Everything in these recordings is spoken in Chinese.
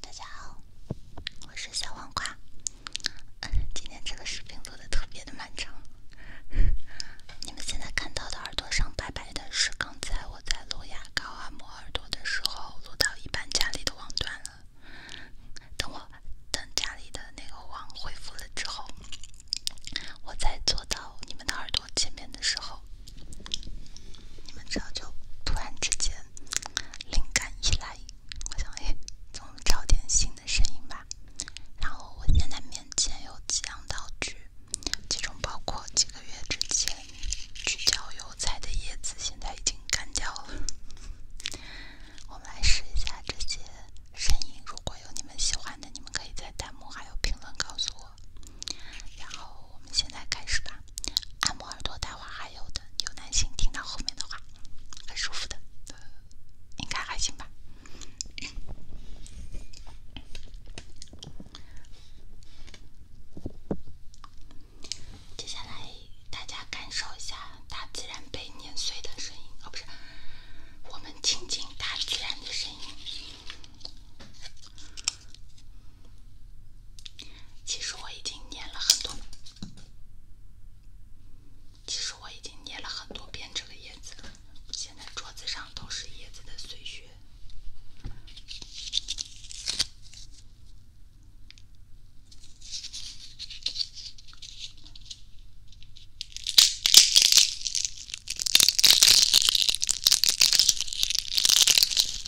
大家好，我是小黄瓜。今天这个视频做的特别的漫长。你们现在看到的耳朵上白白的，是刚才我在涂牙膏啊、抹耳朵的时候，录到一半家里的网断了。等我等家里的那个网恢复了之后，我再做到你们的耳朵。见面的时候，你们知道就突然之间灵感一来，我想哎，总找点新的声音吧？然后我现在面前有几样道具，其中包括几个月之前去郊游采的叶子，现在已经干掉了。我们来试一下这些声音，如果有你们喜欢的，你们可以在弹幕还有评论告诉我。然后我们现在开始吧，按摩耳朵，待会儿还有的，有耐心听到后面的话，很舒服的，应该还行吧。接下来大家感受一下大自然被碾碎的声音，哦，不是，我们亲近大自然的声音。其实我已经念了很多，其实我已经念了很多遍这个叶子了。现在桌子上都是叶子的碎屑。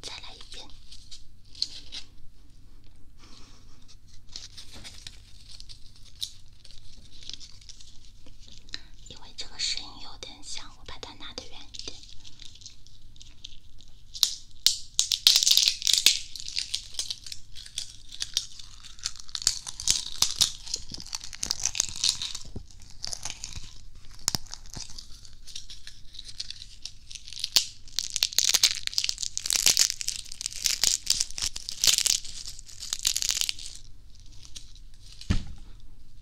再来一遍，因为这个声音有点像。我把它拿得远一点。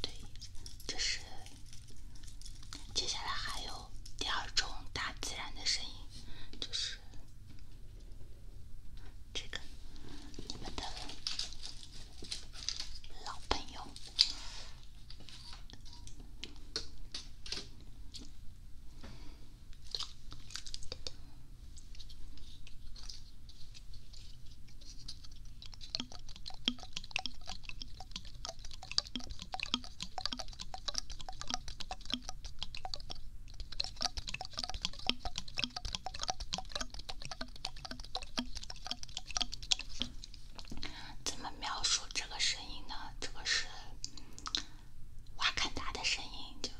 对，这是接下来还有第二种大自然的声音，就是这个你们的老朋友。怎么描述这个声音呢？这个是瓦坎达的声音，就。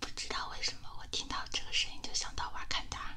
不知道为什么，我听到这个声音就想到瓦坎达。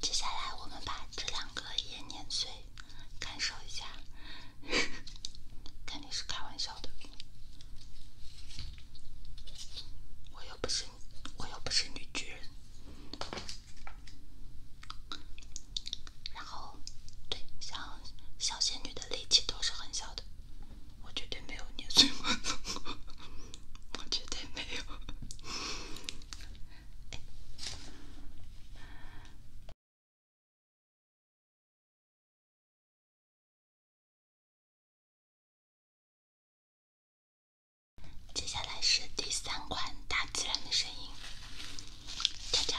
接下来我们把这两个也捏碎，感受一下。肯定是开玩笑的，我又不是我又不是女巨人。然后，对，像小仙女的力气都是很小的，我绝对没有捏碎吗？我绝对没有。接下来是第三款，大自然的声音，悄悄。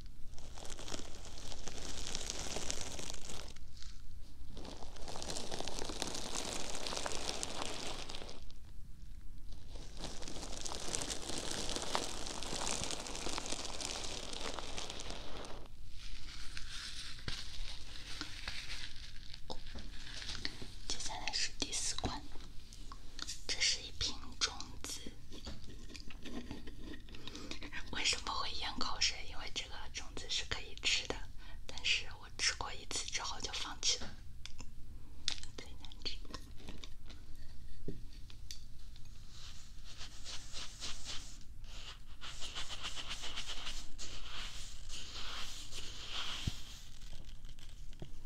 接下来是第四关。这是一瓶种子，为什么会咽口水？因为这个种子是可以吃的，但是我吃过一次之后就放弃了，最难吃。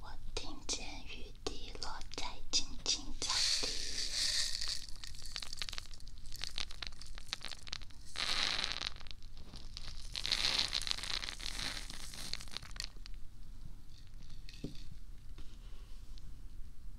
我听见雨滴落在青青草地。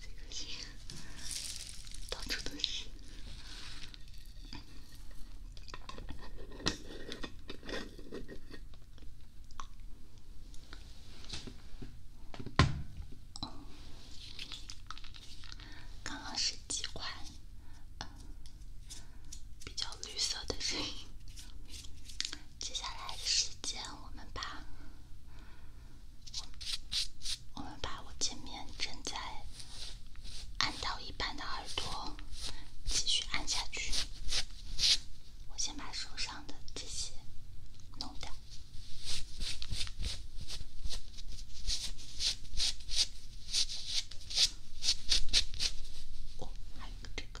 最恶心，到处都是。刚刚是几款比较绿色的声音，接下来的时间我们把。我们把我前面正在按到一半的耳朵继续按下去。我先把手上的这些弄掉。我还有个这个。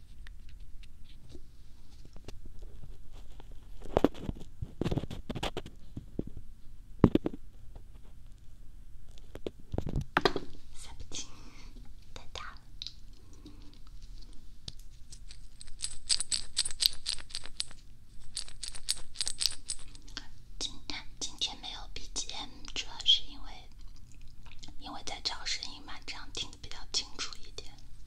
撒今天没有 BGM，主要是因为，因为在找声音嘛，这样听得比较清楚一点。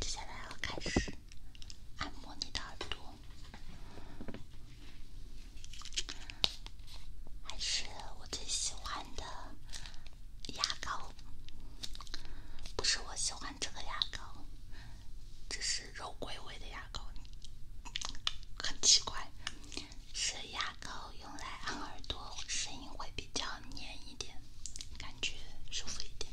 接下来要开始按摩你的耳朵。还是我最喜欢的牙膏，不是我喜欢这个牙膏，这是肉桂味的牙膏，很奇怪。是牙膏用来按耳朵，声音会比较黏一点，感觉舒服一点。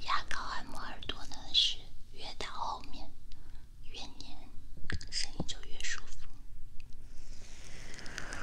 牙膏按摩耳朵呢，是越到后面越黏，声音就越舒服。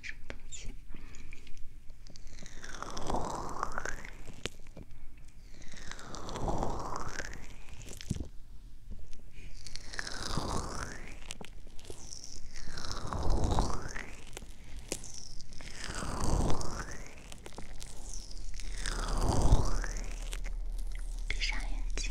什么东西？闭上眼睛。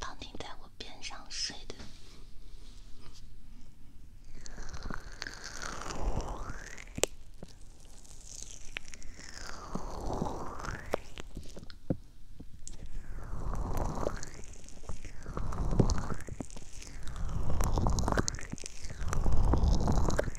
胖丁在我边上睡的。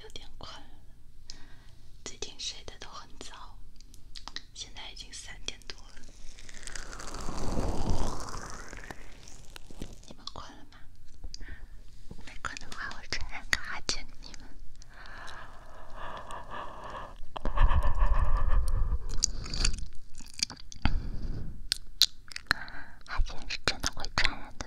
有点困了，最近睡的很早，现在已经三点多了。你们困了？那个的话，我传染给阿杰你们，阿杰是真的会传染的。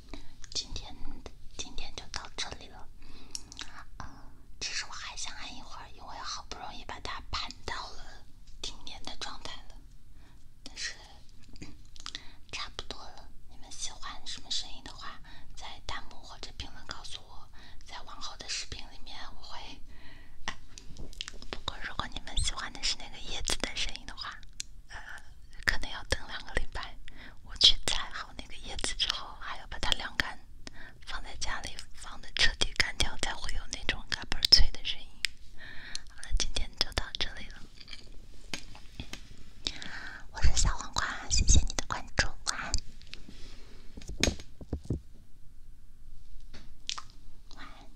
今天，今天就到这里了。呃，只是我还想按一会儿，因为好不容易把它盘到了听年的状态了。但是差不多了。你们喜欢什么声音的话，在弹幕或者评论告诉我。在往后的视频里面我会。不过如果你们喜欢的是那个叶子的声音的话。呃，可能要等两个礼拜。我去采好那个叶子之后，还要把它晾干，放在家里放的彻底干掉，才会有那种嘎嘣脆的声音。好了，今天就到这里了。我是小黄瓜，谢谢你的关注，晚安，晚安。